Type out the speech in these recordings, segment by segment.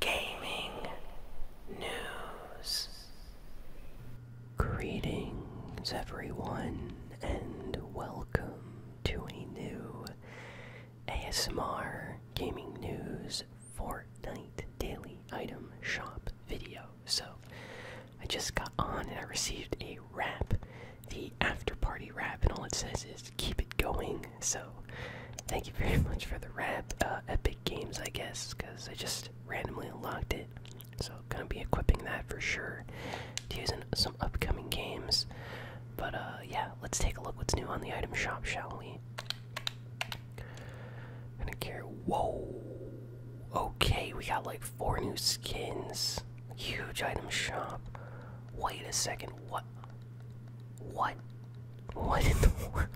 gaming news. Greetings, everyone, and welcome to a new ASMR Gaming News Fortnite Daily Item Shop video. So, I just got on and I received a wrap, the after party wrap, and all it says is keep it going. So, thank you very much for the wrap. Uh, Epic Games, I guess, because I just randomly unlocked it. So, gonna be equipping that for sure to use some upcoming games. But, uh, yeah, let's take a look what's new on the item shop, shall we? Gonna care. Whoa! Okay, we got like four new skins. Huge item shop. Wait a second, what? What? What in the world?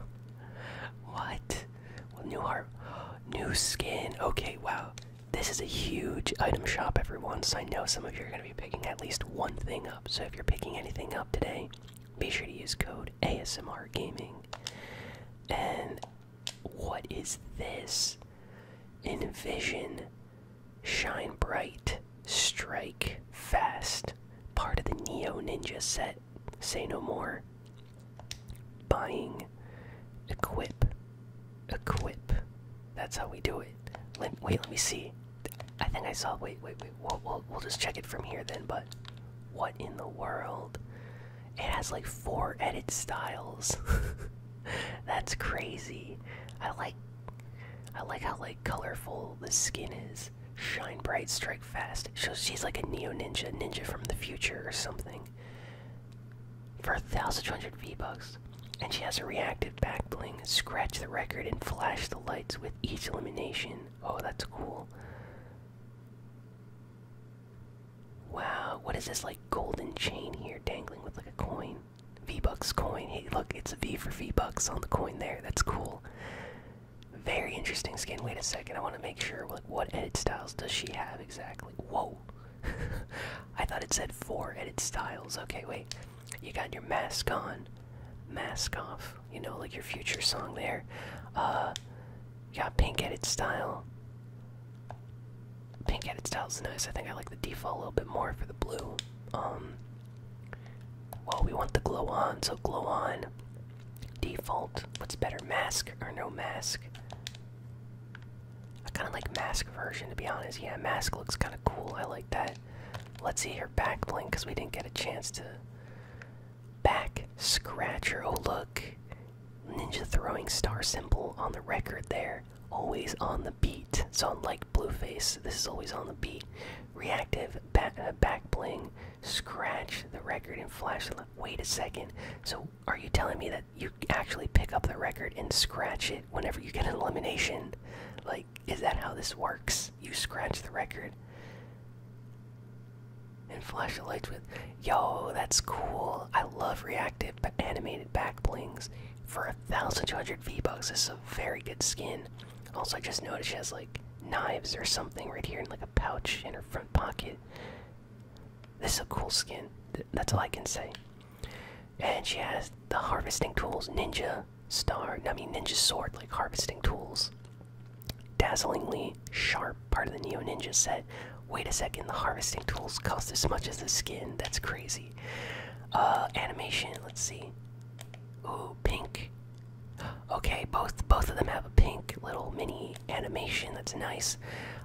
What? new heart, new skin. Okay, wow. This is a huge item shop, everyone. So I know some of you are going to be picking at least one thing up. So if you're picking anything up today, be sure to use code ASMR Gaming. And what is this? Envision, shine bright, strike fast. Part of the Neo Ninja set. Say no more. Buying. Equip. Equip. That's how we do it. Let, wait, let me see. I think I saw. Wait, wait, wait. We'll, we'll, we'll just check it from here then, but what in the world? It has like four edit styles. That's crazy. I like I like how like colorful the skin is shine bright, strike fast. she's like a neo ninja, ninja from the future or something. For a thousand two hundred V bucks, and she has a reactive back bling. Scratch the record and flash the lights with each elimination. Oh, that's cool. Wow, what is this like golden chain here dangling with like a coin? V-Bucks coin. Hey, look, it's a V for V-Bucks on the coin there. That's cool. Very interesting skin. Wait a second. I want to make sure. what edit styles does she have exactly? Whoa. I thought it said four edit styles. Okay, wait. You got your mask on, mask off. You know, like your future song there. Uh, got pink edit style. Pink edit style is nice. I think I like the default a little bit more for the blue. Um, well, we want the glow on, so glow on. Default. What's better, mask or no mask? I kind of like mask version to be honest. Yeah, mask looks kind of cool. I like that. Let's see her back bling, because we didn't get a chance to back scratcher. Oh look, ninja throwing star symbol on the record there. Always on the beat. So unlike face. this is always on the beat. Reactive uh, back bling scratch the record and flash the. Wait a second. So, are you telling me that you actually pick up the record and scratch it whenever you get an elimination? Like, is that how this works? You scratch the record and flash the lights with. Yo, that's cool. I love reactive but animated back blings. For a thousand two hundred V bucks, this is a very good skin. Also, I just noticed she has like knives or something right here in like a pouch in her front pocket. This is a cool skin. that's all I can say. And she has the harvesting tools, ninja star. I mean, ninja sword, like harvesting tools. Dazzlingly sharp, part of the Neo Ninja set. Wait a second, the harvesting tools cost as much as the skin. That's crazy. Uh, animation. Let's see. Ooh, pink Okay, both both of them have a pink little mini animation. That's nice.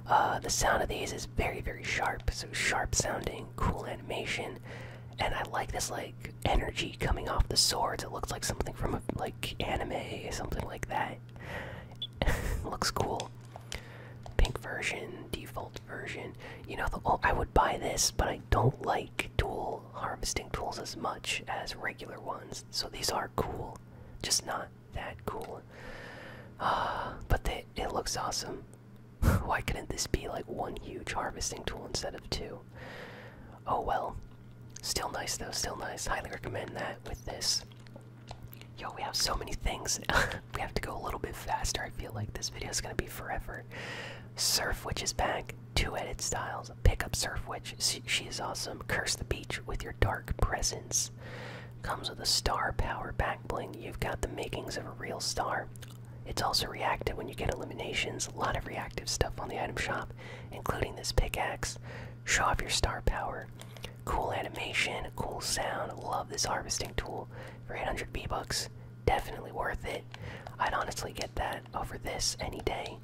Uh, the sound of these is very very sharp, so sharp sounding, cool animation, and I like this like energy coming off the swords. It looks like something from like anime, something like that. looks cool. Pink version, default version. You know, oh, I would buy this, but I don't like tool harvesting tools as much as regular ones, so these are cool, just not that cool. Uh, but it looks awesome. Why couldn't this be like one huge harvesting tool instead of two? Oh well. Still nice though, still nice. Highly recommend that with this. Yo, we have so many things. we have to go a little bit faster. I feel like this video is going to be forever. Surf Witch is back. Two edit styles. Pick up Surf Witch. She is awesome. Curse the beach with your dark presence. Comes with a star power back bling. You've got the makings of a real star. It's also reactive when you get eliminations. A lot of reactive stuff on the item shop, including this pickaxe. Show off your star power. Cool animation, cool sound. Love this harvesting tool for 800 B bucks. Definitely worth it. I'd honestly get that over this any day.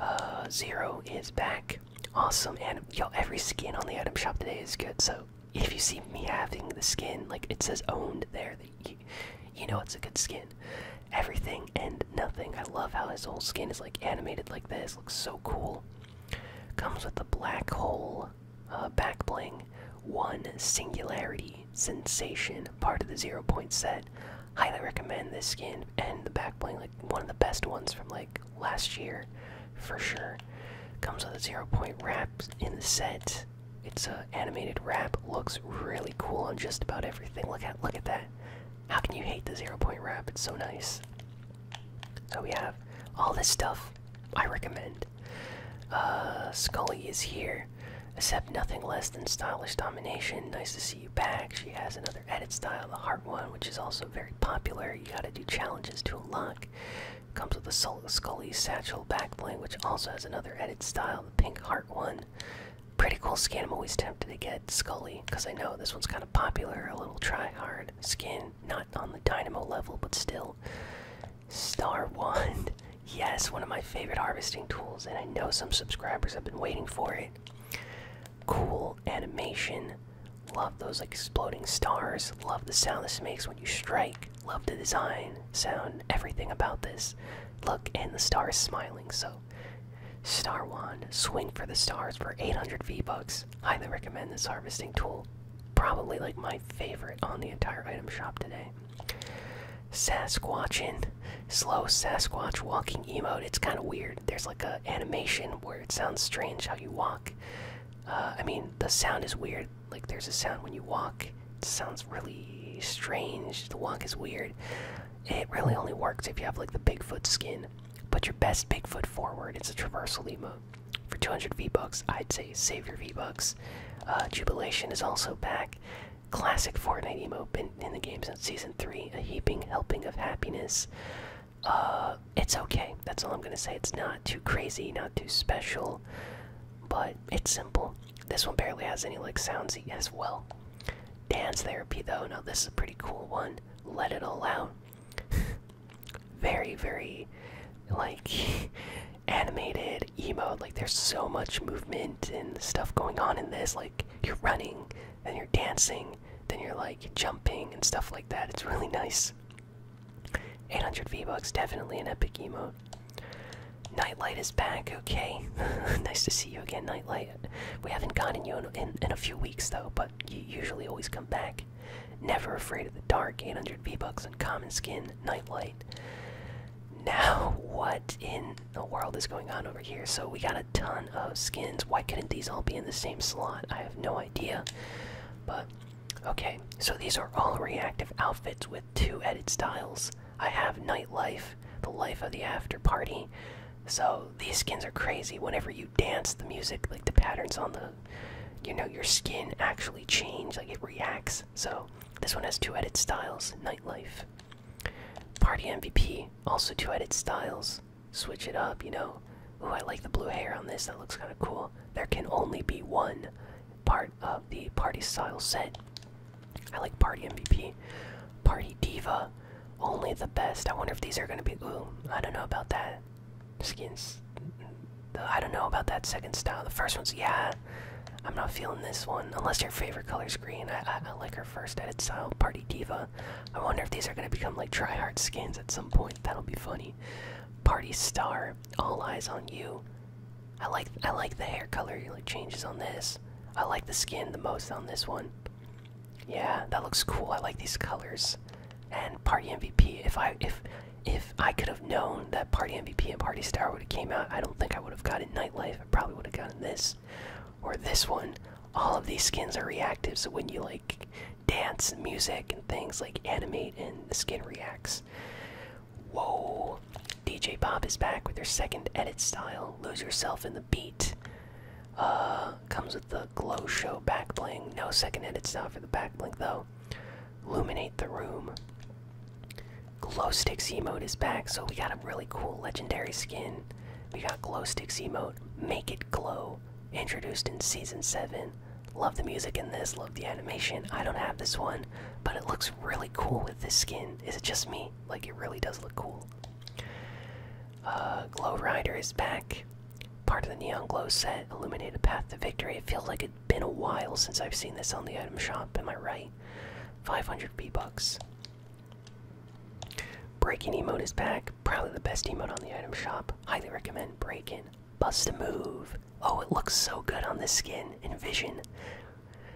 Uh, zero is back. Awesome, and yo, every skin on the item shop today is good. So if you see me having the skin, like it says owned there, you, know it's a good skin. Everything and nothing. I love how his whole skin is like animated like this. Looks so cool. Comes with the black hole uh, back bling, one singularity sensation, part of the zero point set. Highly recommend this skin and the back bling, like one of the best ones from like last year, for sure. Comes with a zero point wrap in the set. It's a animated wrap. Looks really cool on just about everything. Look at look at that. How can you hate the zero point wrap? It's so nice. So we have all this stuff. I recommend. Uh, Scully is here. Except nothing less than stylish domination. Nice to see you back. She has another edit style, the heart one, which is also very popular. You gotta do challenges to unlock. Comes with the Scully satchel backplane, which also has another edit style, the pink heart one. Pretty cool skin. I'm always tempted to get Scully because I know this one's kind of popular. A little try hard skin, not on the Dynamo level, but still. Star one. Yes, one of my favorite harvesting tools, and I know some subscribers have been waiting for it. Cool animation. Love those exploding stars. Love the sound this makes when you strike. Love the design, sound, everything about this. Look, and the star is smiling, so. Star Wand, swing for the stars for 800 V-Bucks. Highly recommend this harvesting tool. Probably like my favorite on the entire item shop today. Sasquatching, slow Sasquatch walking emote. It's kind of weird. There's like a animation where it sounds strange how you walk. Uh, I mean, the sound is weird. Like there's a sound when you walk. It sounds really strange. The walk is weird. It really only works if you have like the Bigfoot skin. Put your best Bigfoot forward. It's a traversal emote. For 200 V-Bucks, I'd say save your V-Bucks. Uh, Jubilation is also back. Classic Fortnite emote, been in the game since season three. A heaping helping of happiness. Uh, it's okay. That's all I'm gonna say. It's not too crazy, not too special, but it's simple. This one barely has any like sounds as well. Dance therapy though. Now this is a pretty cool one. Let it all out. very very like animated emote. Like there's so much movement and stuff going on in this. Like you're running, then you're dancing, then you're like jumping and stuff like that. It's really nice. 800 V-Bucks, definitely an epic emote. Nightlight is back, okay. nice to see you again, Nightlight. We haven't gotten you in, in, in a few weeks though, but you usually always come back. Never afraid of the dark, 800 V-Bucks and common skin, Nightlight. Now, what in the world is going on over here? So, we got a ton of skins. Why couldn't these all be in the same slot? I have no idea. But, okay, so these are all reactive outfits with two edit styles. I have Nightlife, the life of the after party. So, these skins are crazy. Whenever you dance, the music, like the patterns on the, you know, your skin actually change, like it reacts. So, this one has two edit styles Nightlife. Party MVP also two edit styles. Switch it up, you know. Ooh, I like the blue hair on this. That looks kind of cool. There can only be one part of the party style set. I like party MVP, party diva. Only the best. I wonder if these are gonna be. Ooh, I don't know about that. Skins. I don't know about that second style. The first one's yeah. I'm not feeling this one unless your favorite color is green. I, like her first edit style, Party Diva. I wonder if these are gonna become like try-hard skins at some point. That'll be funny. Party Star, all eyes on you. I like I like the hair color like changes on this. I like the skin the most on this one. Yeah, that looks cool. I like these colors. And Party MVP. If I if if I could have known that Party MVP and Party Star would have came out, I don't think I would have gotten Nightlife. I probably would have gotten this or this one all of these skins are reactive so when you like dance and music and things like animate and the skin reacts whoa dj bob is back with her second edit style lose yourself in the beat uh comes with the glow show back bling no second edit style for the back bling though illuminate the room Glow Sticks emote is back, so we got a really cool legendary skin. We got Glow Sticks emote, Make It Glow, introduced in Season 7. Love the music in this, love the animation. I don't have this one, but it looks really cool with this skin. Is it just me? Like, it really does look cool. Uh, glow Rider is back. Part of the Neon Glow set, illuminate a path to victory. It feels like it's been a while since I've seen this on the item shop. Am I right? 500 B bucks break emote is back. Probably the best emote on the item shop. Highly recommend break Bust a move. Oh, it looks so good on this skin. Envision.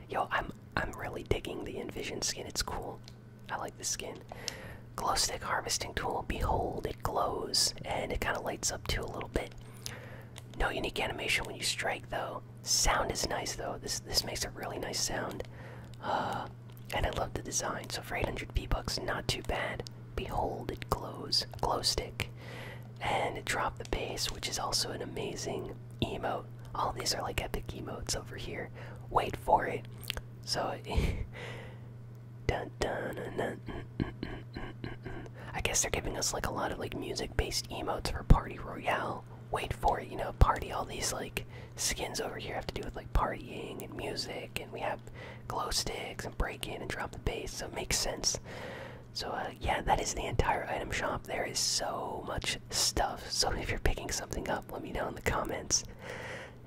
Yo, I'm I'm really digging the Envision skin. It's cool. I like this skin. Glow stick harvesting tool. Behold, it glows and it kind of lights up too a little bit. No unique animation when you strike though. Sound is nice though. This this makes a really nice sound. Uh, and I love the design. So for 800 P bucks, not too bad. Behold, it glows. Glow stick. And it dropped the bass, which is also an amazing emote. All these are like epic emotes over here. Wait for it. So. dun, dun, dun, mm, mm, mm, I guess they're giving us like a lot of like music-based emotes for Party Royale wait for it, you know, party. All these like skins over here have to do with like partying and music, and we have glow sticks and break in and drop the bass, so it makes sense. So, uh, yeah, that is the entire item shop. There is so much stuff. So, if you're picking something up, let me know in the comments.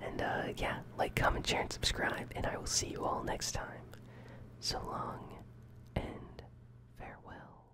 And, uh, yeah, like, comment, share, and subscribe. And I will see you all next time. So long and farewell.